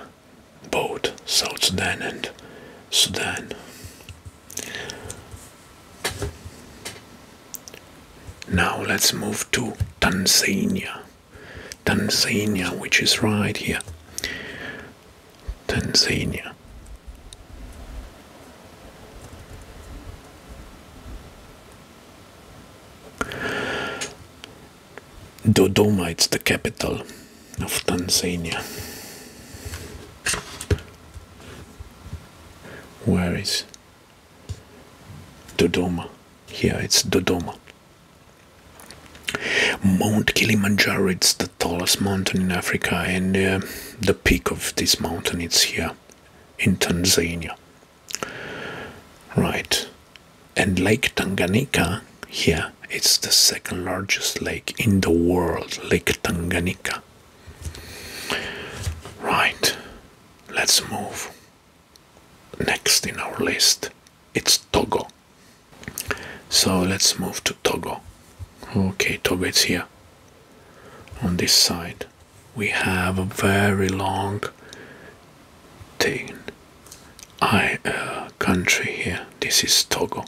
both South Sudan and Sudan. Now let's move to Tanzania. Tanzania, which is right here. Tanzania. Dodoma, is the capital of Tanzania. Where is Dodoma? Here it's Dodoma. Mount Kilimanjaro it's the tallest mountain in Africa and uh, the peak of this mountain is here in Tanzania. Right. And Lake Tanganyika here it's the second largest lake in the world, Lake Tanganyika. Right. Let's move. Next in our list it's Togo. So let's move to Togo. Okay, Togo is here. On this side, we have a very long thing. I uh, country here. This is Togo.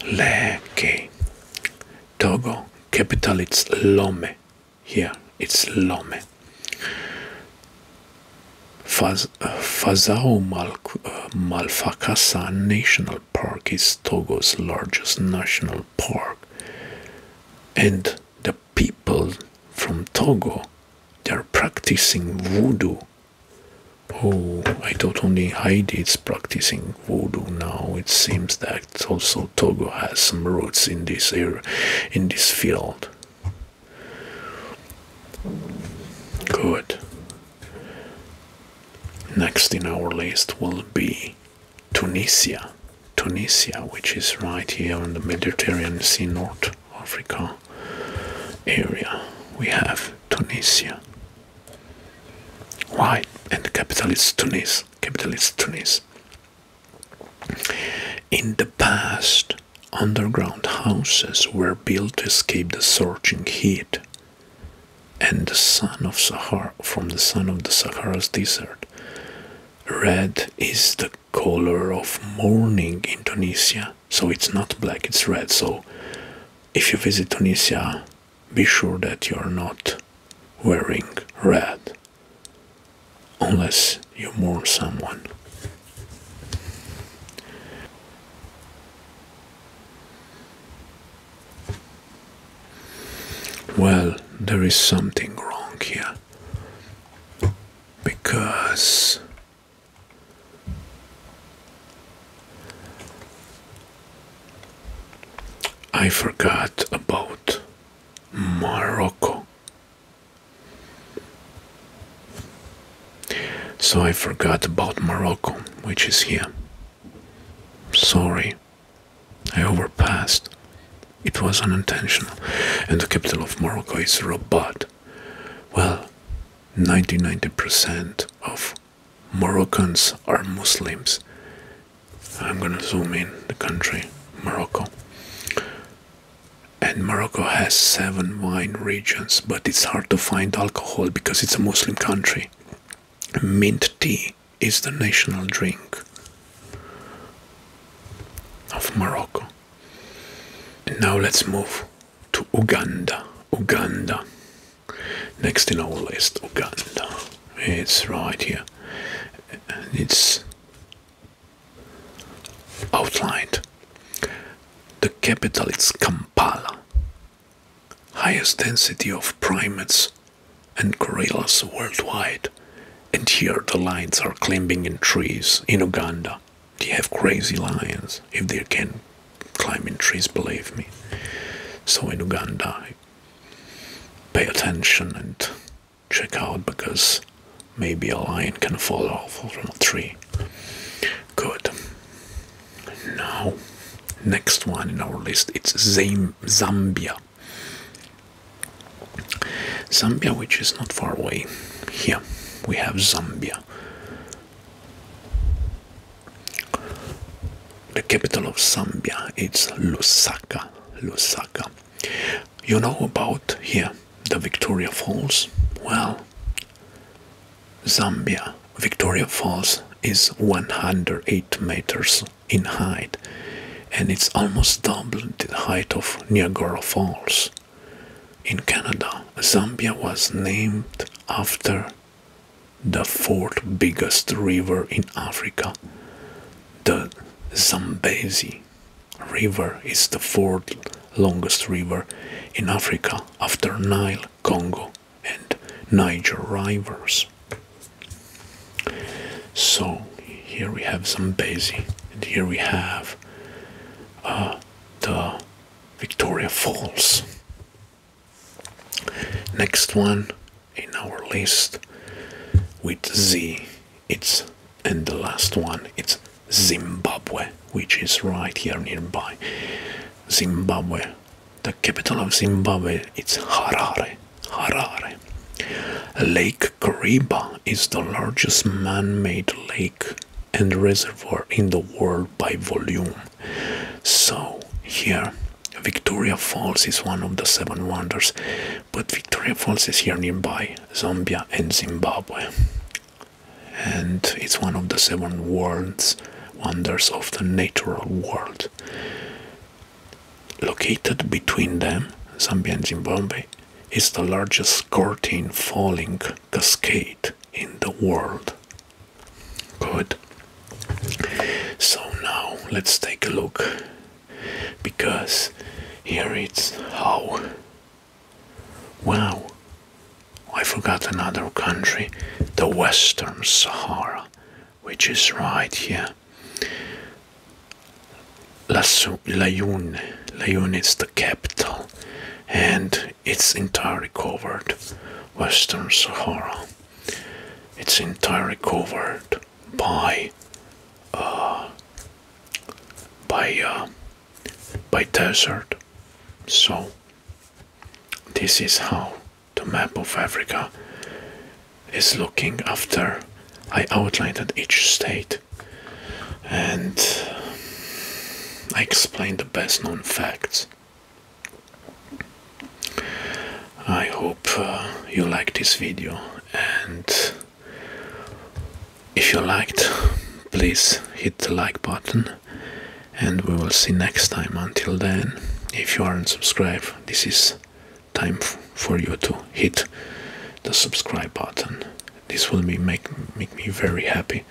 Leke. Togo. Capital it's Lome. Here it's Lome. Fazao Mal, uh, National Park is Togo's largest national park, and the people from Togo they're practicing voodoo. Oh, I thought only Haiti is practicing voodoo now. It seems that also Togo has some roots in this area, in this field. Good. Next in our list will be Tunisia. Tunisia, which is right here on the Mediterranean Sea, North Africa area. We have Tunisia. Why? and the capital is Tunis. Capital is Tunis. In the past, Underground houses were built to escape the scorching heat and the sun of Sahara from the sun of the Sahara's desert. Red is the color of mourning in Tunisia, so it's not black, it's red. So if you visit Tunisia, be sure that you're not wearing red unless means you mourn someone. Well, there is something wrong here. Because I forgot about Morocco so I forgot about Morocco, which is here. Sorry, I overpassed. It was unintentional, and the capital of Morocco is Rabat. Well, 99% of Moroccans are Muslims. I'm gonna zoom in the country, Morocco and Morocco has seven wine regions, but it's hard to find alcohol because it's a Muslim country. Mint tea is the national drink of Morocco. now let's move to Uganda. Uganda. Next in our list, Uganda. It's right here. It's outlined. The capital is Kampala. Highest density of primates and gorillas worldwide. And here the lions are climbing in trees in Uganda. They have crazy lions if they can climb in trees, believe me. So in Uganda, pay attention and check out because Maybe a lion can fall off from a tree. Good. Now, next one in our list it's Zambia. Zambia, which is not far away. Here we have Zambia. The capital of Zambia is Lusaka. Lusaka. You know about here the Victoria Falls? Well, Zambia, Victoria Falls is 108 meters in height and it's almost double the height of Niagara Falls. In Canada, Zambia was named after the fourth biggest river in Africa, the Zambezi river is the fourth longest river in Africa after Nile, Congo, and Niger rivers. So here we have Zambezi, and here we have uh, the Victoria Falls. Next one in our list with Z, it's and the last one, it's Zimbabwe, which is right here nearby. Zimbabwe, the capital of Zimbabwe, it's Harare. Harare. Lake Kariba is the largest man-made lake and reservoir in the world by volume. So here, Victoria Falls is one of the seven wonders, but Victoria Falls is here nearby, Zambia and Zimbabwe and it's one of the seven worlds, wonders of the natural world. Located between them, Zambia and Zimbabwe, is the largest curtain falling cascade in the world. Good. So now let's take a look because here it's how Wow, I forgot another country, the Western Sahara, which is right here. La Layoun, Layoun is the capital, and it's entirely covered. Western Sahara, it's entirely covered by uh, by uh, by desert so, this is how the map of Africa is looking after I outlined each state and I explained the best known facts. I hope uh, you like this video and if you liked, please hit the like button and we will see next time. Until then, if you aren't subscribed, this is time for you to hit the subscribe button. This will be make, make me very happy.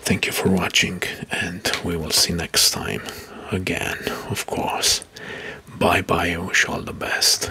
Thank you for watching and we will see next time again, of course. Bye bye, I wish all the best.